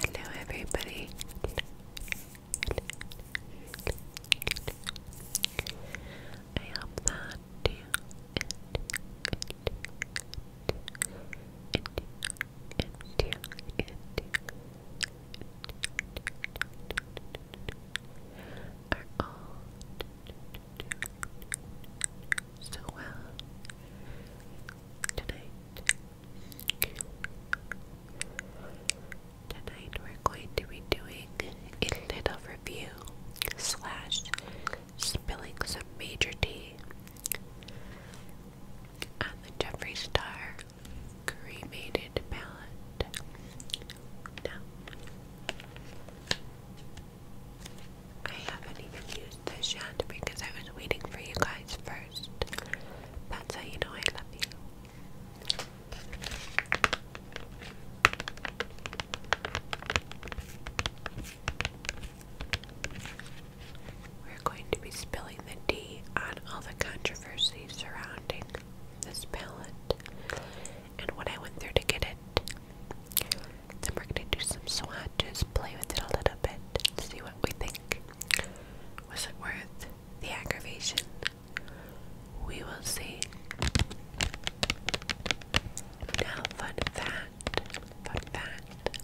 Hello, everybody. I hope that you are all so well tonight. Tonight we're going to be doing a little review slash spilling some major tea on the Jeffrey Star cremated palette. Now, I haven't even used this yet because I was waiting for you guys first. That's how you know I love you. We're going to be spilling the tea on all the controversy surrounding this palette and what I went through to get it. Then we're gonna do some swatches, play with it a little bit, see what we think. Was it worth the aggravation? We will see. Now, fun fact, fun fact.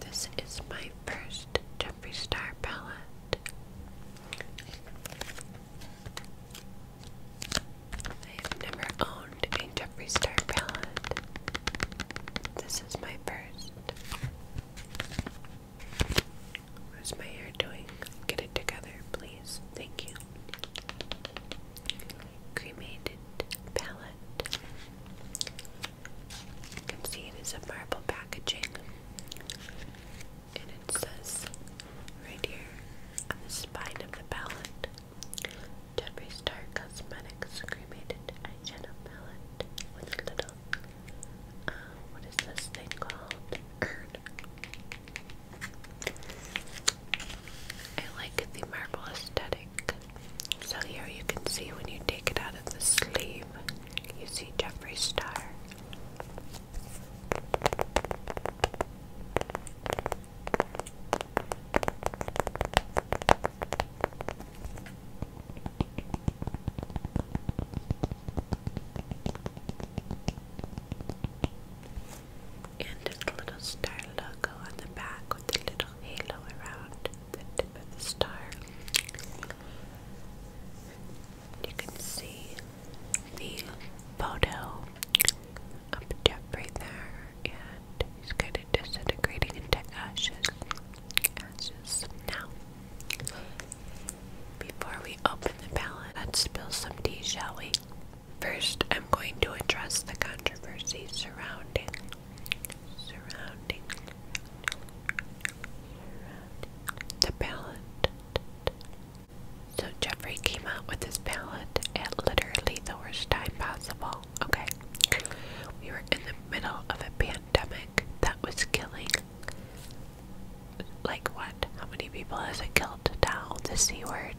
This is my first Jeffree Star palette. I have never owned a Jeffree Star palette. This is my first. What's my hair doing? Get it together, please. Thank you. Cremated palette. You can see it is a marble packaging and it says right here on the spine of the palette Jeffrey Star Cosmetics Cremated Eyeshadow Palette with a little, uh, what is this thing called? I like the marble aesthetic. So here you can see when you take it out of the sleeve, you see Jeffrey Star. And this little star logo on the back with the little halo around the tip of the star. You can see the photo up top there, and he's kind of into ashes. Ashes. Now, before we open the palette, let's spill some tea, shall we? First, I'm going to address the controversy surrounding, surrounding, the ballot. So Jeffrey came out with his palette at literally the worst time possible. Okay. We were in the middle of a pandemic that was killing like what? How many people has it killed now? The C word.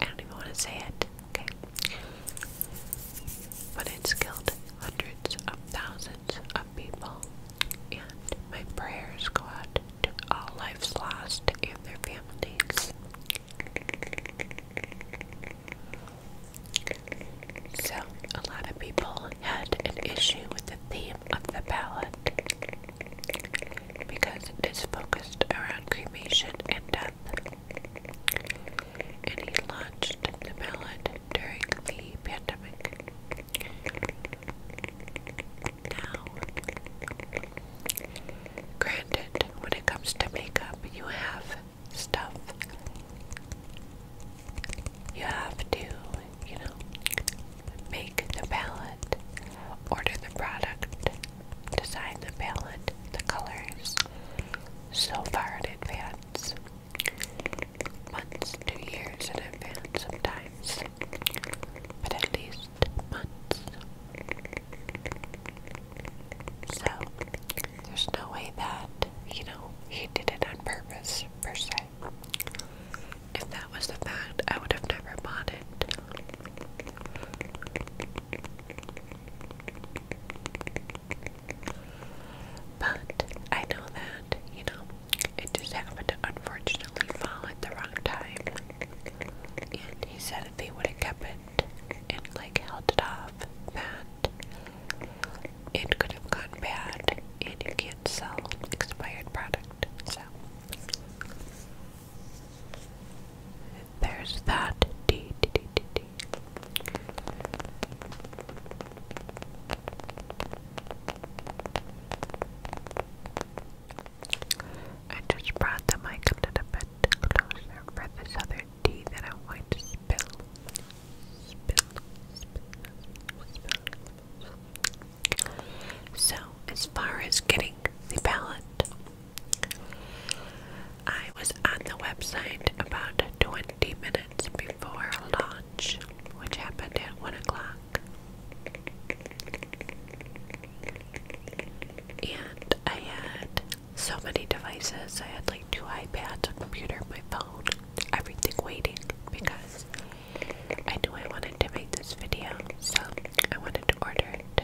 I don't even want to say it. Okay. But it's killed hundreds of thousands of people. And my prayers go out to all lives lost and their families. So, a lot of people had an issue with the theme of the ballot because it is focused around cremation and death. And he launched the ballot during the pandemic granted, when it comes to makeup, you have stuff. You have to, you know, make the palette, order the product, design the palette, the colors, so far in advance. Months, two years in advance sometimes but at least months. So, there's no way that, you know, he did it on purpose, per se. If that was the fact, I would have never bought it. But I know that, you know, it just happened to unfortunately fall at the wrong time. And he said if he would have kept it and like held it off, that it could have gone bad and you can't sell expired product. So there's that I just brought the mic a little bit closer for this other tea that I'm to spill. So, as far as getting the ballot, I was on the website about 20 minutes before launch, which happened at 1 o'clock. And I had so many devices. I had like two iPads, a computer, my phone, everything waiting because I knew I wanted to make this video, so I wanted to order it.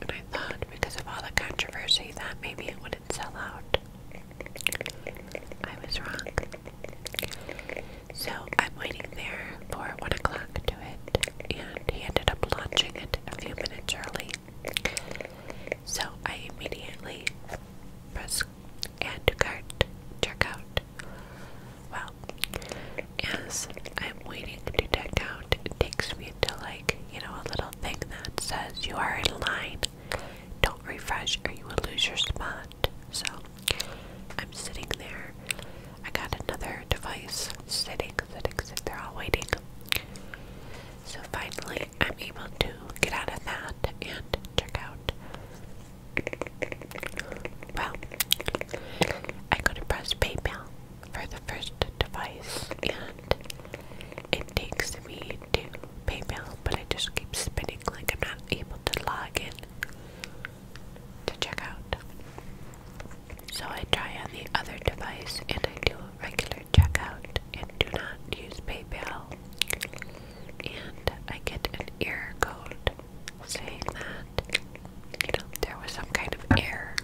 And I thought because of all the controversy that maybe it would did I was wrong. So I'm waiting there for one o'clock to it, and he ended up launching it a few minutes early. So I immediately press add to cart, check out. Well, as I'm waiting to check out, it takes me until like, you know, a little thing that says you are in line don't refresh or you will lose your spot. So I'm sitting there. I got another device sitting, sitting, sitting. They're all waiting. So finally, I'm able to get out of that and check out. Well, I go to press PayPal for the first device, and it takes me to PayPal, but it just keeps spinning like I'm not able to log in to check out. So I try on the other device and I do a regular checkout and do not use PayPal. And I get an error code saying that there was some kind of error.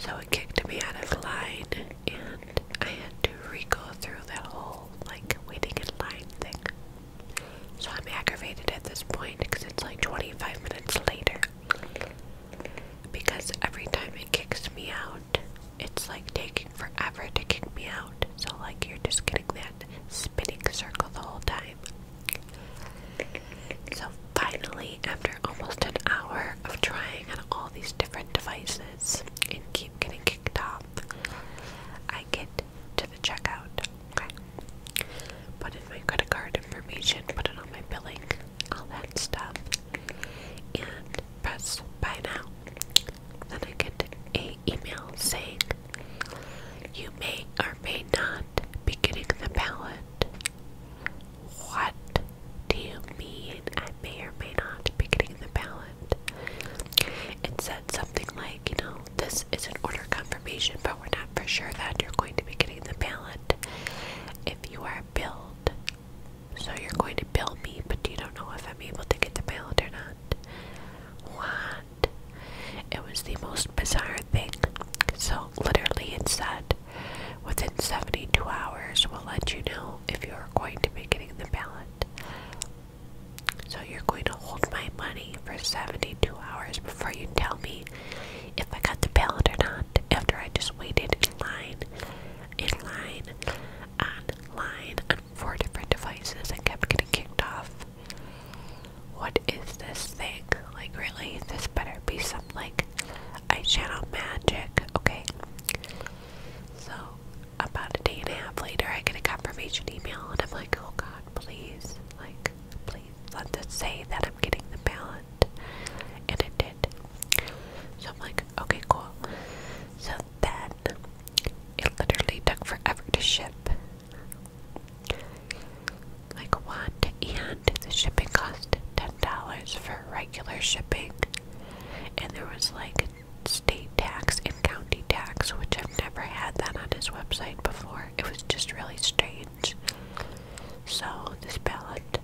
So it kicked me out of line, and I had to re go through that whole like waiting in line thing. So I'm aggravated at this point because it's like 25 minutes later. Because every time it kicks me out, it's like taking forever to kick me out. So, like, you're just getting that spinning circle the whole time. So, finally, after almost an hour of trying on all these different devices, and keep getting kicked off, I get to the checkout. Put in my credit card information, put it on my billing, all that stuff, and press buy now. Then I get an email saying you may or may not be getting the ballot. What do you mean? I may or may not be getting the ballot. It said something like, you know, this is an order confirmation, but we're not for sure that you're going to be getting the ballot. If you are billed, so you're going to bill me, but you don't know if I'm able to get the ballot or not. What? It was the most bizarre thing. So, literally, it said, Within 72 hours, we'll let you know if you're going to be getting the ballot. So you're going to hold my money for 72 hours before you tell me if I got the ballot or not. After I just waited in line, in line, on line, on four different devices and kept getting kicked off. What is this thing? Like really? This better be some like eyeshadow magic, okay? So about a day and a half later, I get a confirmation email, and I'm like, oh god, please, like, please let this say that I'm getting the ballot. And it did. So I'm like, okay, cool. So then it literally took forever to ship. Like, one, And the shipping cost $10 for regular shipping, and there was like state tax and county tax, which I've never had that on his website before. It was just really strange. So, this palette,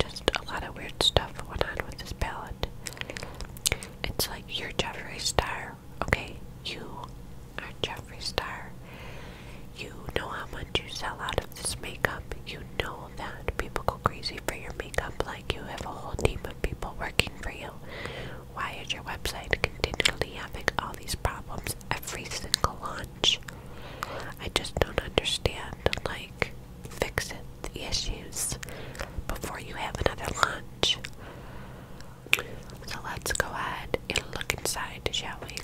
just a lot of weird stuff went on with this palette. It's like you're Jeffree Star, okay? You are Jeffree Star. You know how much you sell out of this makeup makeup. You know that. People go crazy for your makeup like you have a whole team of people working for you. Why is your website continually having all these problems every single launch? I just don't understand. Like, fix it, the issues, before you have another launch. So let's go ahead and look inside, shall we?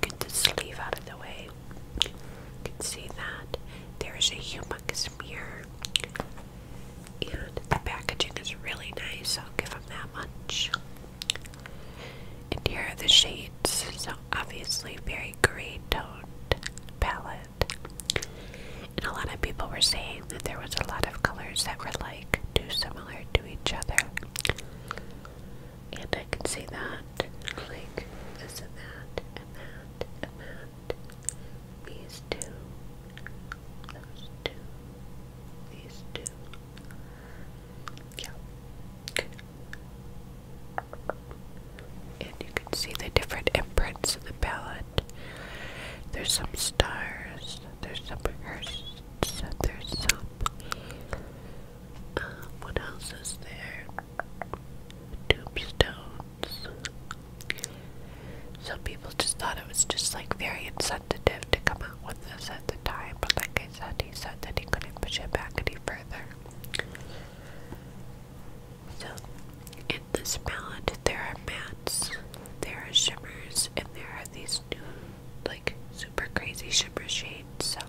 Get the sleeve out of the way. can see that there is a humongous mirror, and the packaging is really nice. I'll give them that much. And here are the shades obviously very gray toned palette. And a lot of people were saying that there was a lot of colors that were like too similar to each other. And I can see that. Like this and that and that and that. These two. Those two. These two. Yeah. And you can see the different imprints of the palette. There's some stars, there's some hearses, there's some. Um, what else is there? Tombstones. Some people just thought it was just like very insensitive to come out with this at the time, but like I said, he said that he couldn't push it back any further. So, in this palette, there are mattes, there are shimmers, and there are these new, like, super crazy shimmer shades. So,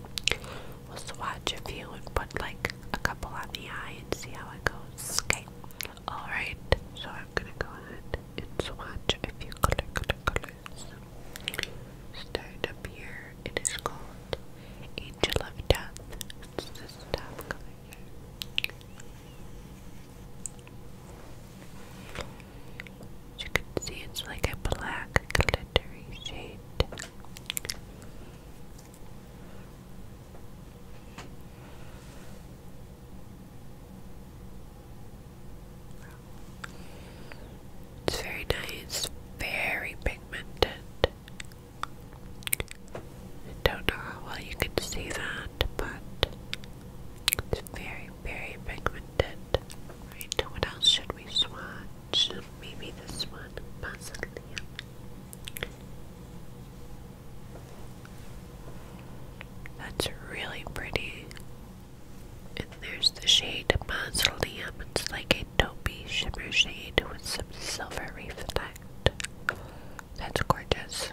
we'll swatch a few and put, like, a couple on the eye and see how it goes. Okay, alright, so I'm gonna go ahead and swatch a few color, color, colors. Start up here. It is called Angel of Death. It's this top color As you can see, it's like a black glittery shade. It's very nice, very pigmented. I don't know how well you can see that, but it's very, very pigmented. Right, what else should we swatch? Maybe this one, possibly. That's really pretty. And there's the shade Mausoleum. It's like a be shimmer shade with some silver reflect. That's gorgeous.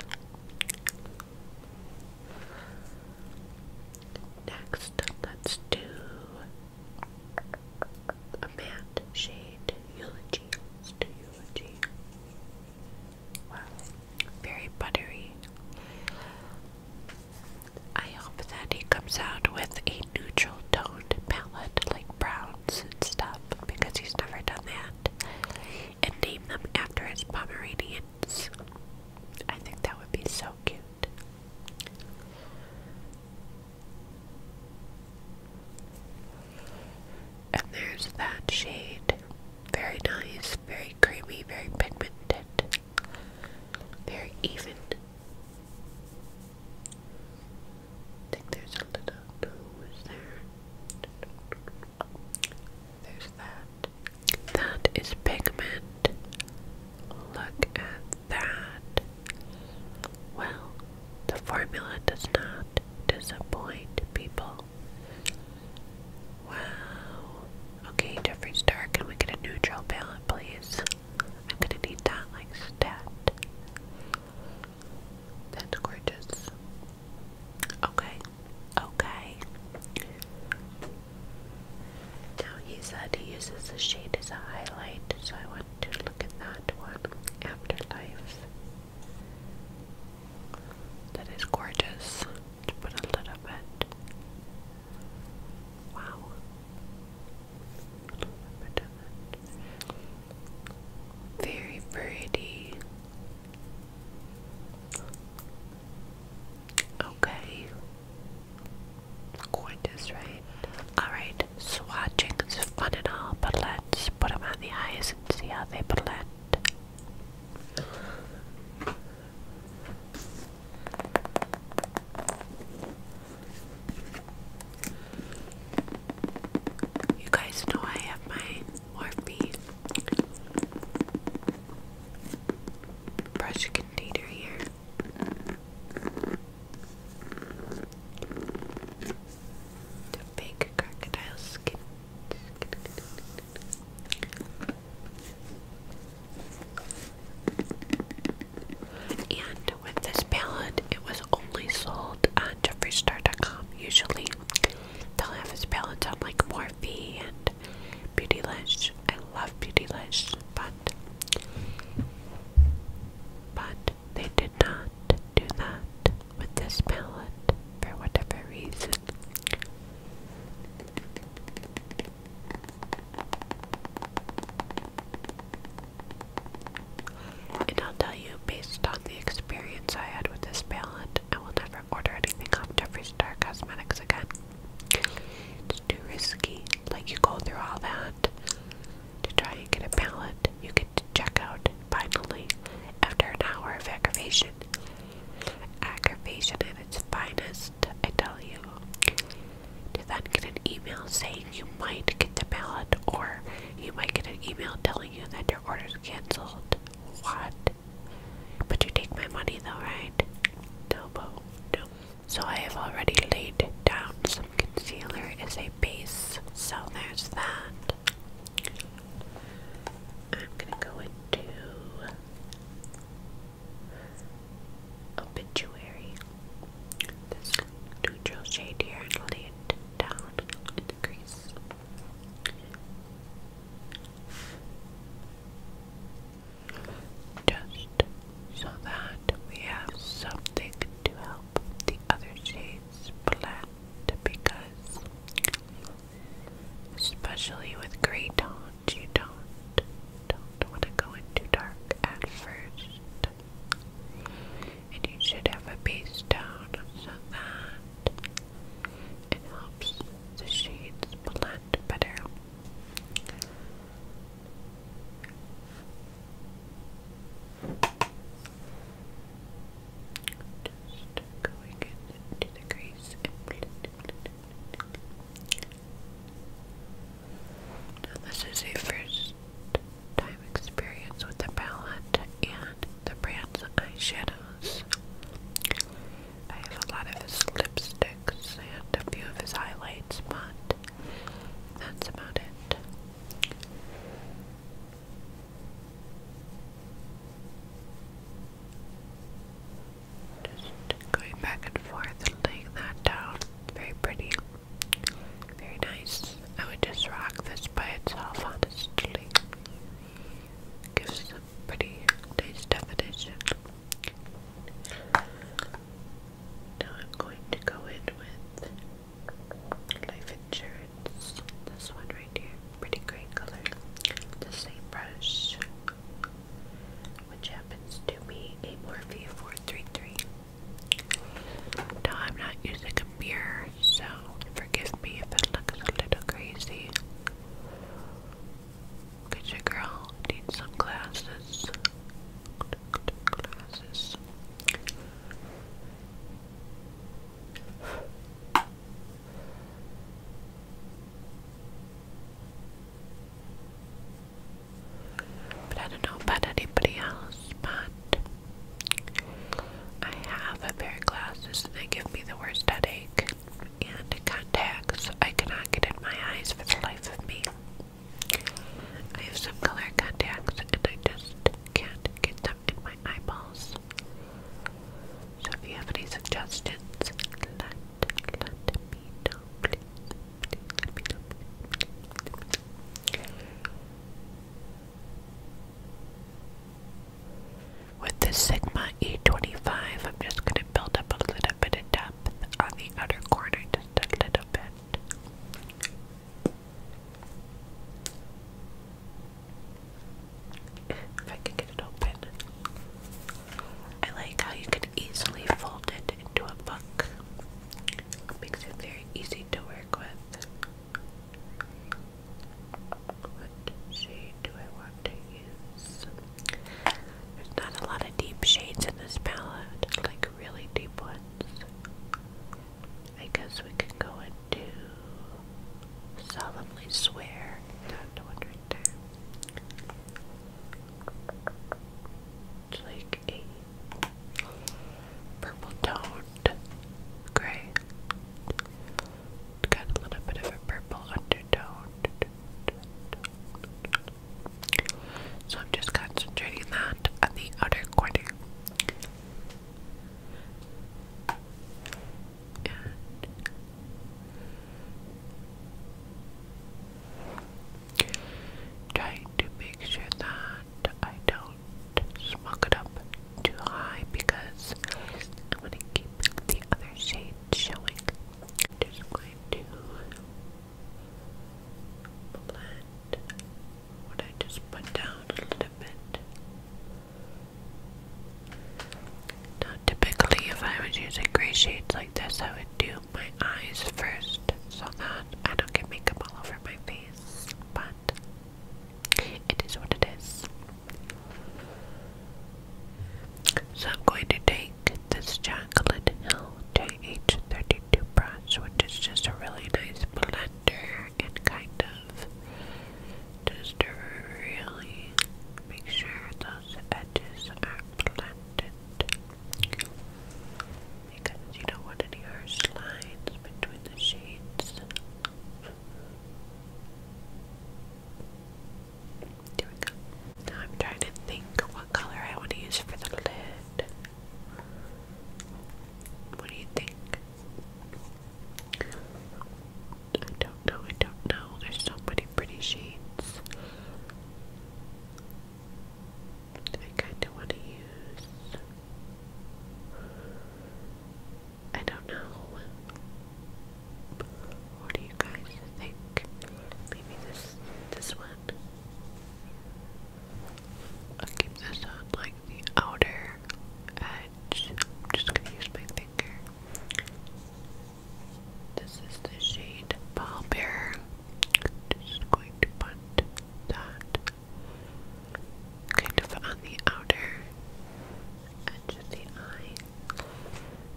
Next, let's do a matte shade, Eulogy. let Eulogy. Wow, very buttery. I hope that he comes out with a neutral tone palette, like browns and stuff, because he's never done that, and name them after his Pomeranians. I think that would be so cute. And there's that shade. Very nice, very creamy, very pigmented, very even there's a little nose there. There's that. That is pigment. Look at that. Well, the formula does not disappoint people. Wow. Okay, Jeffree Star, can we get a neutral palette, please? I'm gonna need that like stat. That's gorgeous. Okay. Okay. Now he said he uses the shade as a highlight, so I want to look at that one. Afterlife. That is gorgeous. To put a little bit Wow. Very pretty. Okay. Gorgeous, right? Alright, swatching is fun and all, but let's put them on the eyes and see how they blend. You guys know I have my Morphe brush container here. The big crocodile skin. And with this palette, it was only sold on JeffreeStar.com. Usually, they'll have this palette on like Morphe and Beautylish. I love Beautylish, but but they did not do that with this palette for whatever reason. And I'll tell you, based on the experience I had with this palette, I will never order anything off Jeffree Star Cosmetics again. It's too risky. Like, you go through all that to try and get a palette. You get to check out finally after an hour of aggravation. Aggravation at its finest, I tell you to then get an email saying you might get the ballot, or you might get an email telling you that your order's canceled. What? But you take my money though, right? No, So I have already laid down some concealer as a base, so there's that. I'm gonna go into obituary. This neutral shade here lay it down in the crease. Just so that we have something to help the other shades blend because especially with gray tones you don't don't want to go into dark at first. And you should have a base down so that it helps the shades blend better. Just going into the crease and blend, this is a first time experience with the palette and the brand's eyeshadows. I have a lot of his lipsticks and a few of his highlights, but that's about it. Just going back and forth laying that down. Very pretty. Very nice. I would just rock this by itself, honestly. Gives a pretty nice definition. Now I'm going to go in with life insurance. This one right here. Pretty great color. The same brush which happens to be a Morphe 433. Now, I'm not using a mirror, so forgive me if it looks a little crazy. Because your girl needs some glasses. Glasses. But I don't know about anybody else, but I have a pair of glasses and they give me the worst headache. And contacts I cannot get in my eyes for the life of me. I have some color contacts and I just can't get them in my eyeballs. So if you have any suggestions, let with the Sigma E25, I'm just going to build up a little bit of depth on the outer corner, just a little bit. If I can get it open. I like how you can easily fold it into a book. makes it very easy to work with. What shade do I want to use? There's not a lot of deep shades in this palette, like really deep ones. I guess we could go into Solemnly Swear. That one right it's like a purple toned gray. got a little bit of a purple undertone. So I'm just concentrating that on the outer corner. Trying to make sure that I don't smock it up too high because I'm going to keep the other shade showing. just going to blend what I just put down a little bit. Now, typically, if I was using gray shades like this, I would do my eyes first so that I don't get makeup all over my face, but it is what it is. So I'm going to take this Chocolate Hill JH32 brush, which is just a really nice blender and kind of just to really make sure those edges are blended because you don't want any harsh lines between the shades. There we go. I'm trying to think what color I want to use for the lid. What do you think? do I don't know. There's so many pretty shades. I kind of want to use. I don't know. What do you guys think? Maybe this this one. I'll keep this on like the outer edge. I'm just gonna use my finger. This is the shade Ball Bear. Just going to put that kind of on the outer edge of the eye.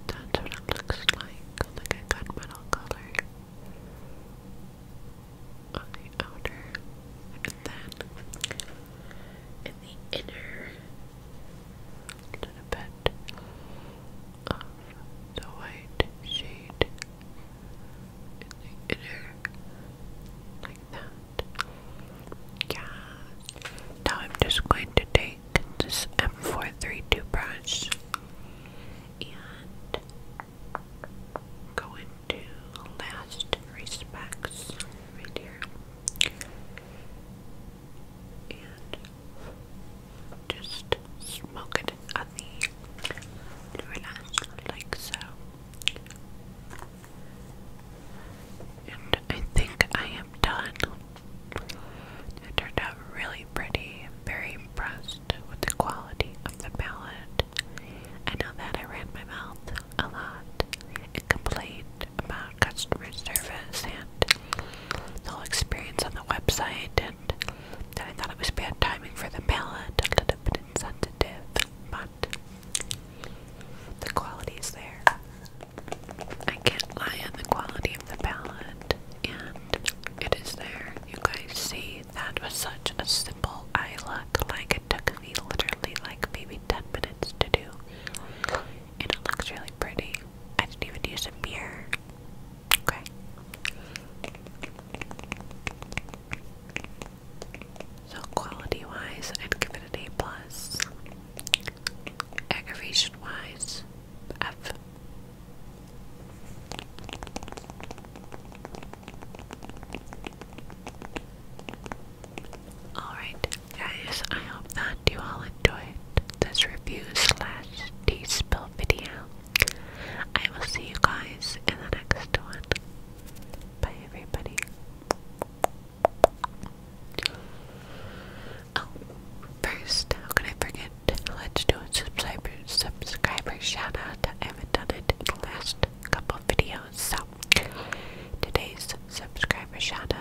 That's what it looks like, like a gunmetal color on the outer, and then in the inner, a little bit the white shade in the inner, like that. Yeah. Now I'm just going to take this M432 brush and go into last respects right here and just smoke it on the relax like so. And I think I am done. It turned out really pretty. very impressed with the quality of the palette. I know that I ran my mouth a lot and about customer service and the whole experience on the website, and that I thought it was bad timing for the palette, a little bit insensitive, but the quality is there. I can't lie on the quality of the palette, and it is there. You guys see, that was such a simple eye look. Like, it took me literally like maybe 10 minutes to do, and it looks really pretty. I didn't even use a mirror. Okay. So quality wise, I'd give it an A plus. Aggravation wise, F. All right, Guys, I hope that you all enjoyed this review slash tea spill video. I will see you guys in the next one. Bye everybody. Oh, first, how can I forget? Let's do a subscriber subscriber shout I haven't done it in the last couple videos, so today's subscriber shout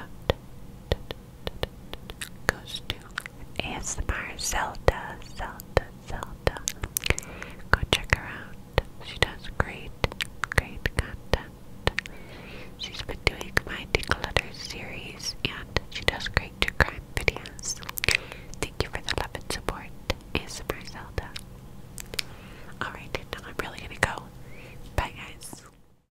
goes to ASMR Zelda, Zelda, Zelda. Go check her out. She does great, great content. She's been doing my declutter series and she does great true crime videos. Thank you for the love and support, ASMR Zelda. Alright, now I'm really gonna go. Bye guys.